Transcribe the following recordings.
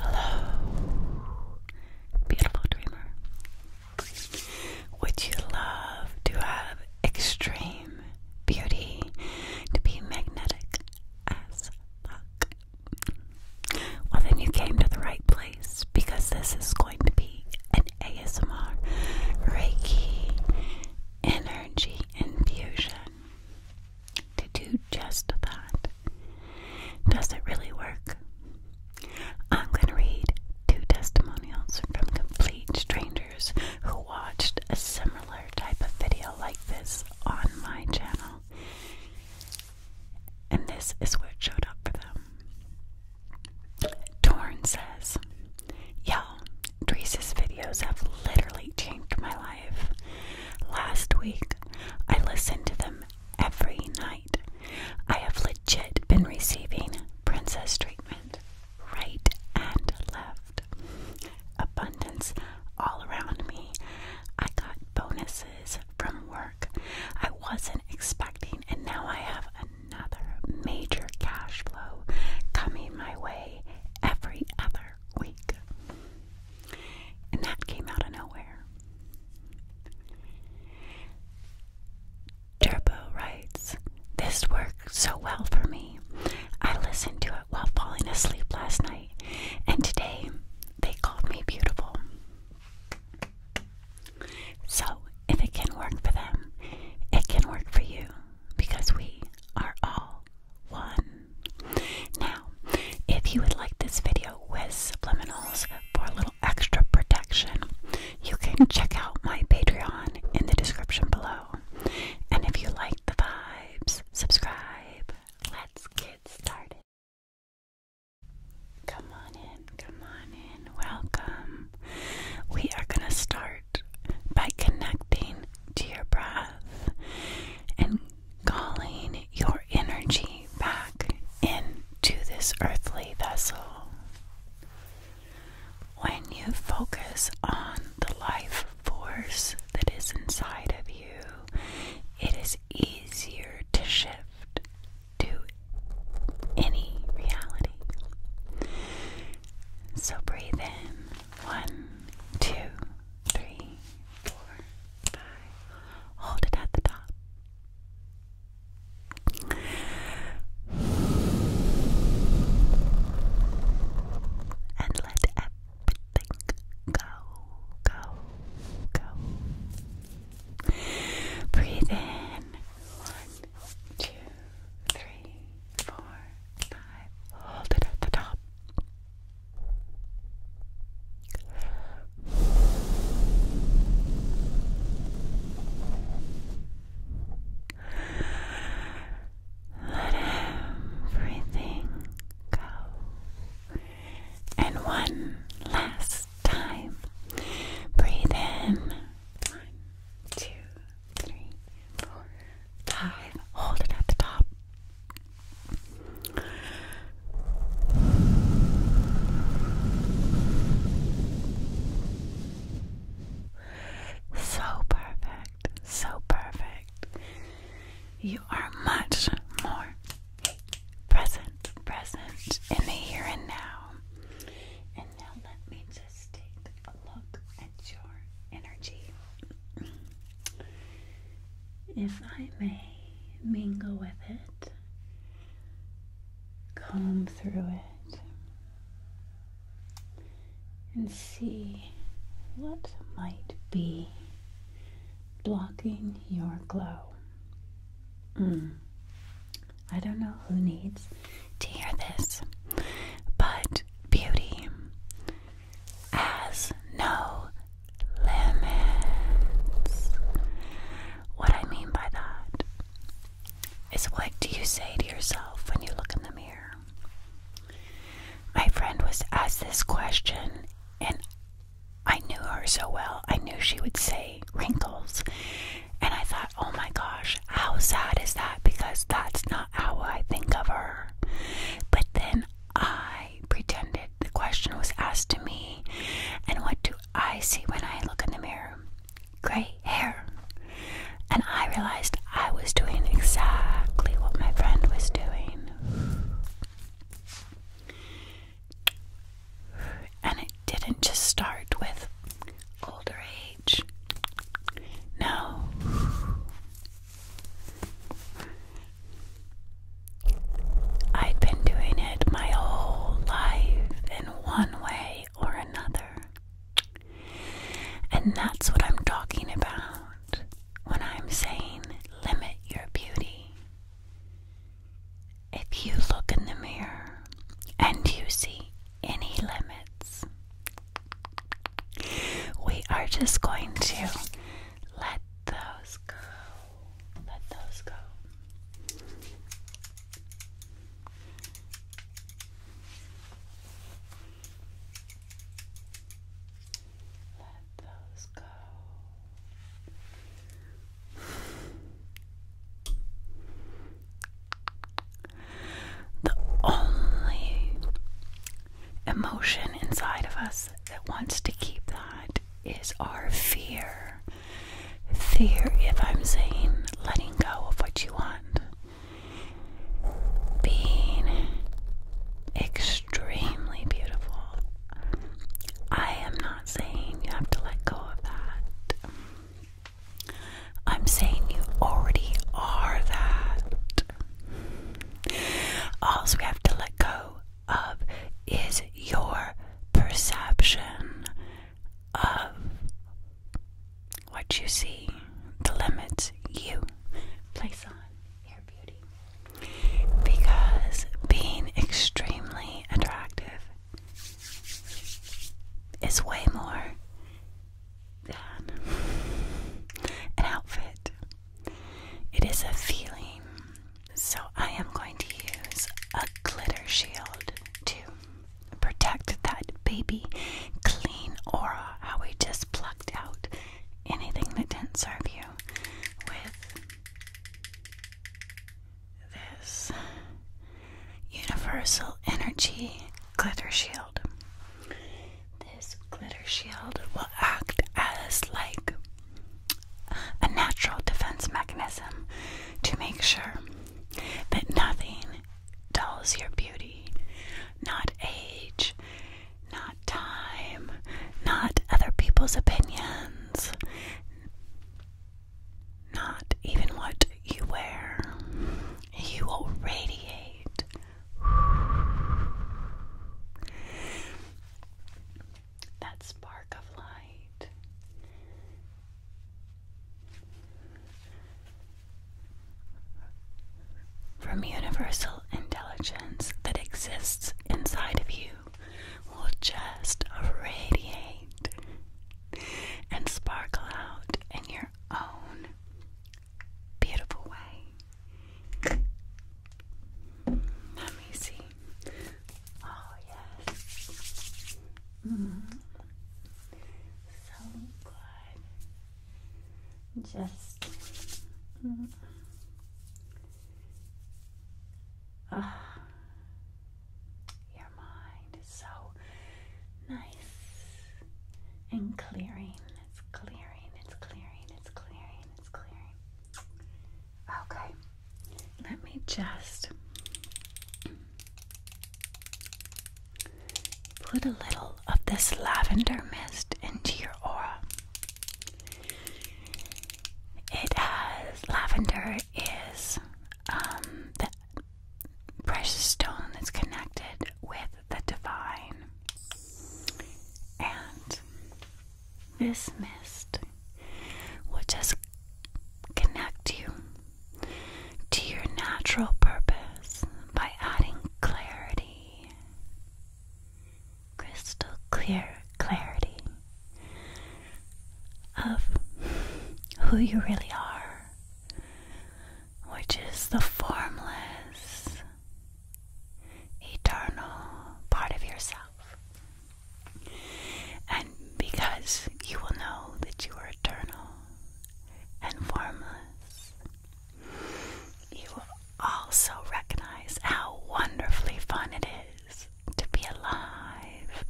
Hello, beautiful dreamer. Would you love to have extreme beauty to be magnetic as fuck? Well, then you came to the right place because this is going to be an ASMR Reiki energy infusion to do just that. Does it really work? I'm going to read two testimonials from complete strangers who watched a similar type of video like this on my channel. And this is where it showed up for them. Torn says, Yo, well, videos have literally changed my life. Last week, I listened to them every night. I have legit been receiving princess treatment right and left. Abundance all around me. I got bonuses from work I wasn't expecting, and now I have another major cash flow coming my way every other entire And that came out of nowhere. Turbo writes, This worked so well for me. I listened to it while falling asleep last night, and today they called me beautiful. So, if it can work for them, it can work for you because we are all one. Now, if you would like this video with subliminals for a little extra protection, you can check out my Patreon in the description below. And if you like the vibes, subscribe. Let's get started. Come on in, come on in, welcome. We are going to start by connecting to your breath and calling your energy back into this earthly vessel. When you focus on the life force that is inside of you, it is easier to shift to any reality. So breathe in one, two, three, four, five. Hold it at the top. And let everything go, go, go. Breathe in. One, two, three, four, five. Hold it at the top. Let everything go. And one last time. Breathe in. One, two, three, four, five. Hold it at the top. So perfect, so perfect. You are much more present, present in the here and now. And now let me just take a look your energy. If I may mingle with it, come through it, and see what might be blocking your glow. Hmm. I don't know who needs to hear this, but beauty has no limits. What I mean by that is what do you say to yourself when you look in the mirror? My friend was asked this question, and I knew her so well. I knew she would say wrinkles. And I thought, oh my gosh, how sad is that? Because that's not how I think of her. But then I pretended the question was asked to me, and what do I see when I look in the mirror? Gray hair. And I realized I was doing exactly what my friend was doing. And it didn't just start with older age. No, I've been doing it my whole life in one way or another. And that's what I'm talking about when I'm saying limit your beauty. If you look in the mirror and you see any limits, we are just going to let those go. Let those go. Let those go. The only emotion inside of us that wants to keep that is our fear. Fear, if I'm saying letting go of what you want, being extremely beautiful. I am not saying you have to let go of that. I'm saying you already are that. All we have to let go of is your perception of what you see, the limits you place on your beauty. Because being extremely attractive is way more than an outfit. It is a feeling. So I am going to use a glitter shield to protect that baby clean aura. How we just plucked out anything that didn't serve you with this universal energy glitter shield. This glitter shield will act as like a natural defense mechanism to make sure that nothing dulls your beauty, not age, not time, not other people's opinions, not even what you wear. You will radiate that spark of light. From universal intelligence that exists inside of you will just radiate and sparkle out in your own beautiful way. Let me see. Oh, yes. Mm-hmm. So good. Just. Mm your mind is so nice and clearing. It's clearing, it's clearing, it's clearing, it's clearing. Okay, let me just put a little of this lavender mist into your aura. It has lavender is um, the precious stone that's connected with the divine, and this mist will just connect you to your natural purpose by adding clarity, crystal clear clarity of who you really are, which is the formless, eternal part of yourself. And because you will know that you are eternal and formless, you will also recognize how wonderfully fun it is to be alive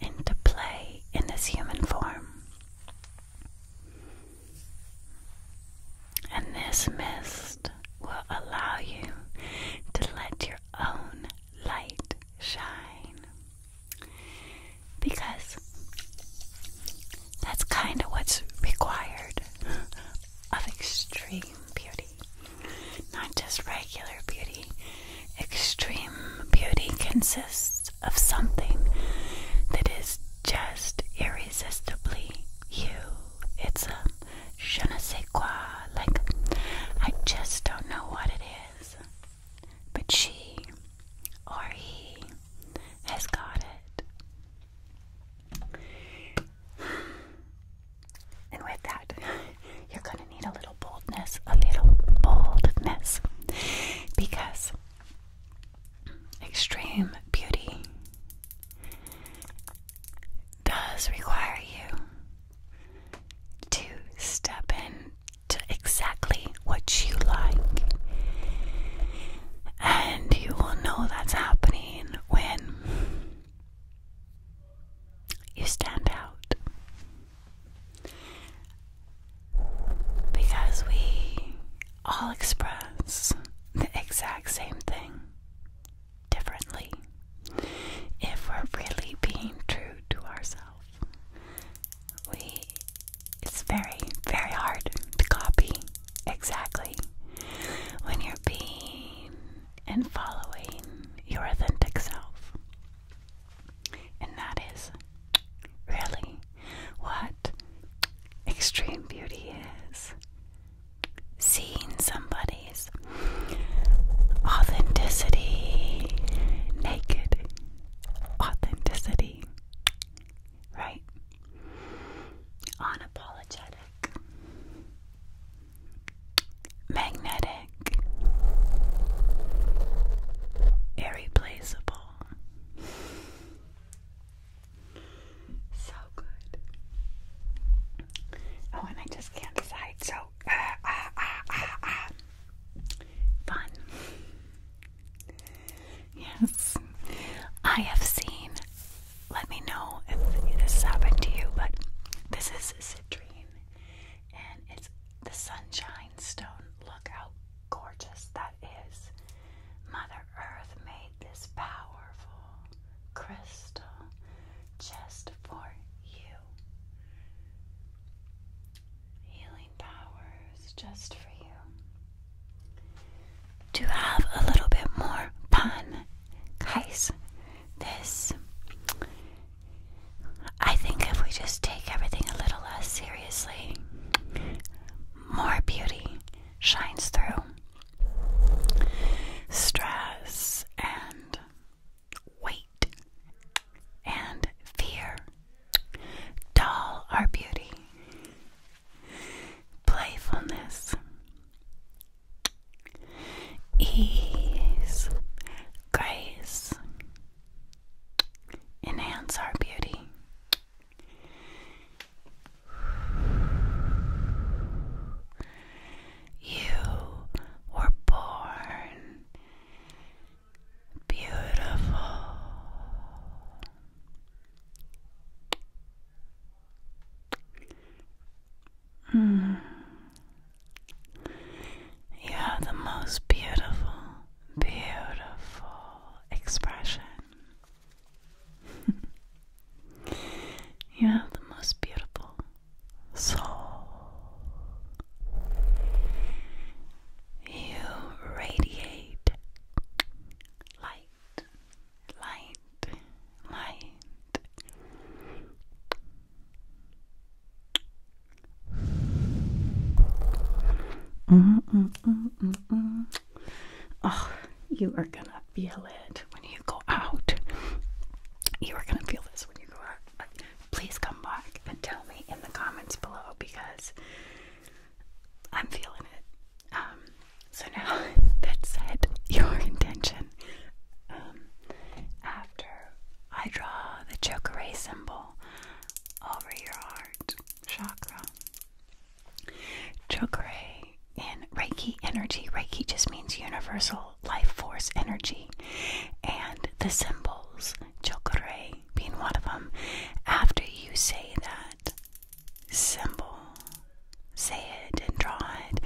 and to play in this human form. And this mist will allow you to let your own light shine. Because that's kind of what's required of extreme beauty. Not just regular beauty. Extreme beauty consists of something that is just irresistibly you. It's a je uh, like, I just don't know what it is. But she or he has got it. And with that, you're going to need a little boldness, a little boldness, because extreme beauty does require you to step in to exactly what you like. And you will know that's happening when you stand out. Because we all express the exact same thing differently if we're really being true to ourselves. We it's very, very hard to copy exactly when you're being and following your authentic self. And that is really what extreme beauty is seeing somebody's authenticity, naked authenticity, right? Unapologetic, magnetic, irreplaceable. So good. Oh, and I just can't decide. So, uh, uh, uh, fun. Yes, I have seen. Let me know if this happened to you, but this is citrine, and it's the sunshine stone. Look how gorgeous that is. Mother Earth made this powerful crystal just for you. Healing powers just for you. To have a little bit more fun, guys, this. I think if we just take everything a little less seriously, more beauty shines through. Stress and and weight and fear. Doll our beauty, playfulness, ease, grace, enhance our beauty you were born beautiful. Mm. You have the most beautiful, beautiful expression. you have the most beautiful, so You radiate light, light, light. Oh, you are gonna feel it when you go out. You are going to feel this when you go out. Please come back and tell me in the comments below because I'm feeling it. Um, so now that said, your intention. Um, after I draw the chakra symbol over your heart chakra, chakra in Reiki energy. Reiki just means universal life force energy. And the symbols, chokore being one of them, after you say that symbol, say it and draw it,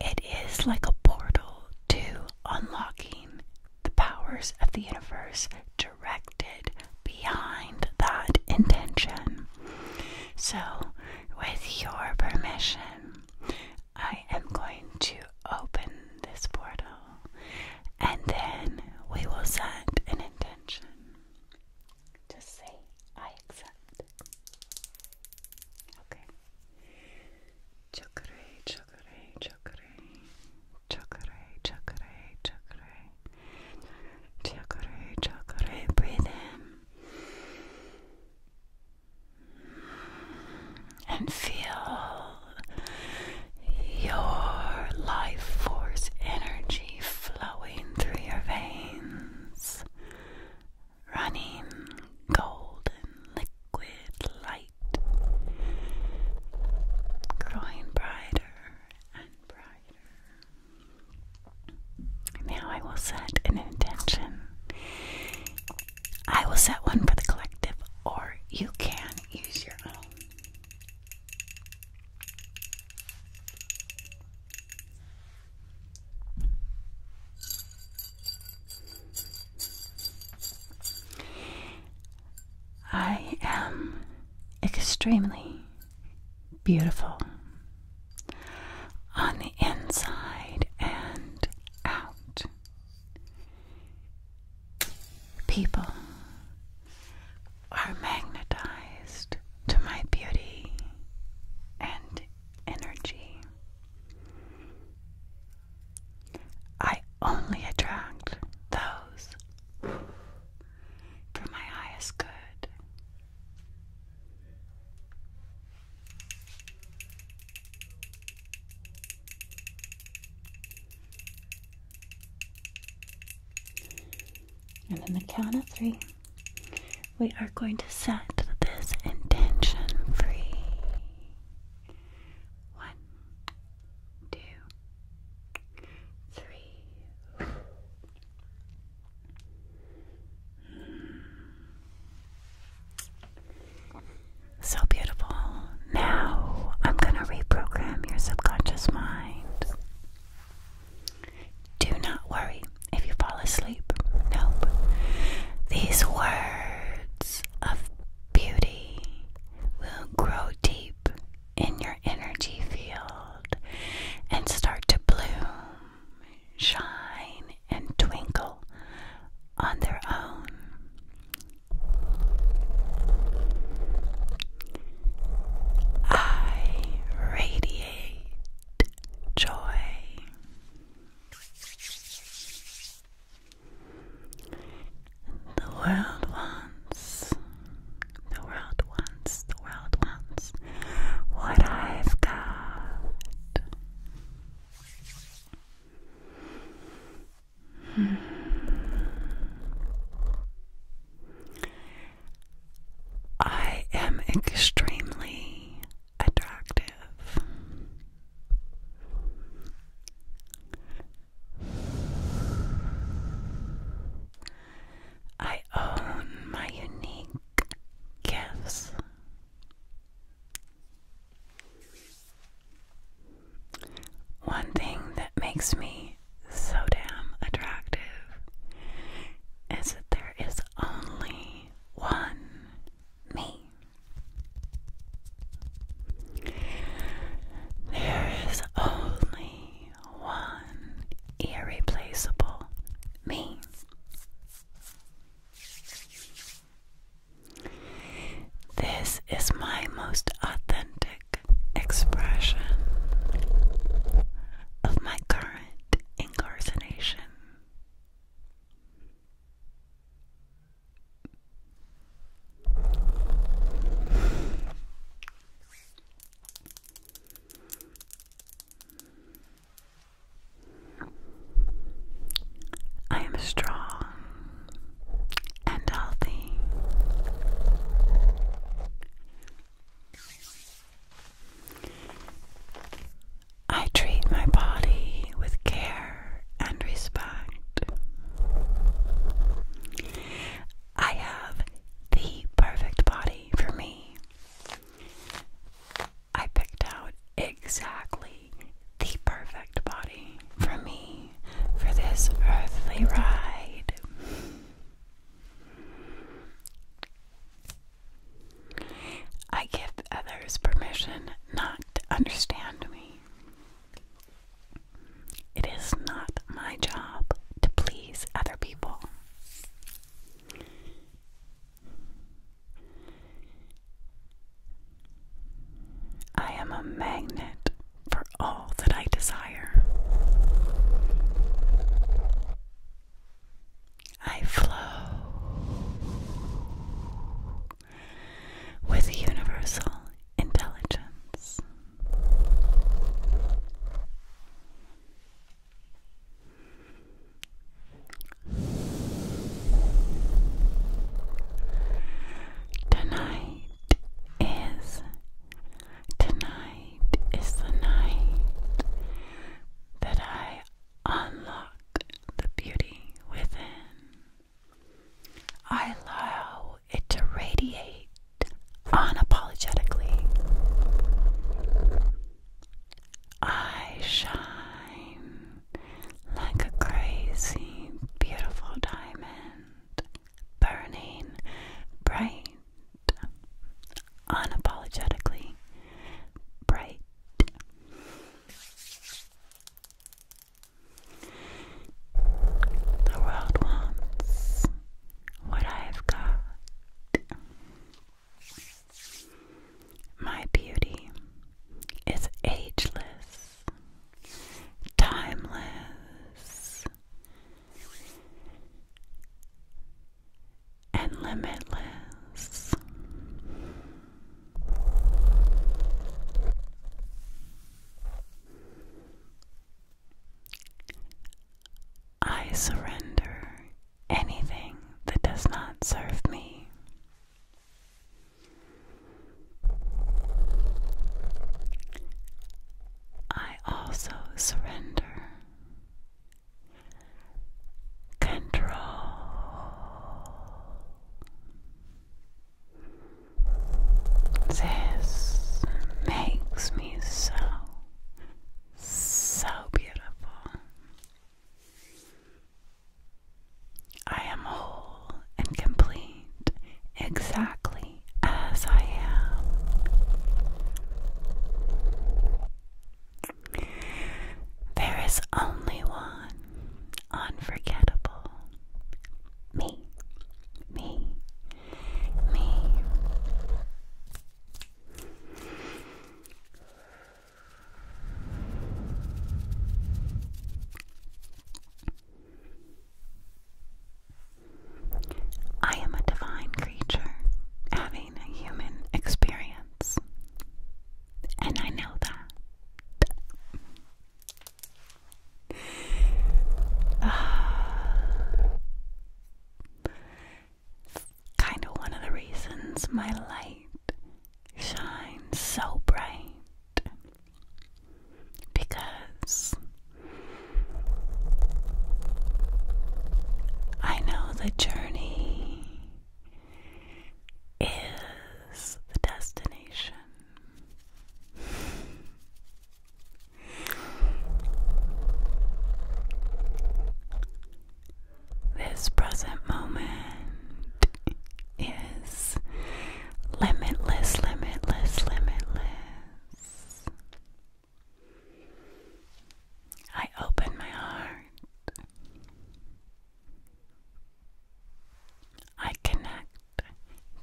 it is like a portal to unlocking the powers of the universe directed behind that intention. So, with your permission, I am going to open this portal and then we will send an intention. Just say, I accept. Okay. Chakare, chakare, chakare, chakare, chakare, chakare, chakare, chakare. Breathe in and feel your life force energy flowing through your veins, running golden liquid light, growing brighter and brighter. Now I will set an intention I will set one for the collective, or you can use your own. I am extremely beautiful on the inside and out out. People are magnetized to my beauty and energy. I only attract those for my highest good. And then the count of three, we are going to set this intention free. One, two, three. So beautiful. Now I'm going to reprogram your subconscious mind. Do not worry if you fall asleep. Nope. These words of beauty will grow deep in your energy field and start to bloom shine, and twinkle on their own. I radiate joy. The world wants, the world wants, the world wants what I've got. I am extremely attractive. I own my unique gifts. One thing that makes me so damn attractive is that there is only one me. There is only one irreplaceable me. This is my most authentic expression of my current incarceration. I am strong and healthy. I treat my body with care and respect. I have the perfect body for me. I picked out exactly the perfect body for me for this earthly ride. I give others permission not to understand me. It is not my job to please other people. I am a magnet for all that I desire. I flow with universal intelligence. Tonight is tonight is the night that I unlock the beauty within. I allow it to radiate unapologetically. I shine like a crazy, beautiful diamond, burning bright, unapologetically bright. The world wants what I've got. My beauty is ageless, timeless, and limitless. I surrender anything that does not serve me. I also surrender control. This makes me so, so beautiful. I am whole and complete exactly as I am. There is only one unforgettable me, me, me. I am a divine creature having a human experience, and I know that. kind of one of the reasons my light shines so bright because I know the journey is the destination. This present moment is limitless, limitless, limitless. I open my heart. I connect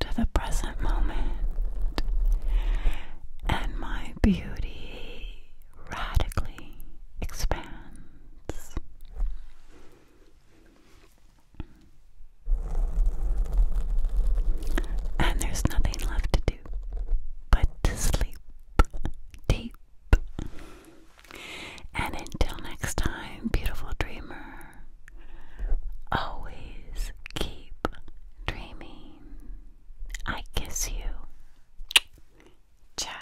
to the present moment, and my beauty radically expands. And there's nothing left to do but to sleep deep. And until next time, beautiful dreamer, always keep dreaming. I kiss you. Ciao.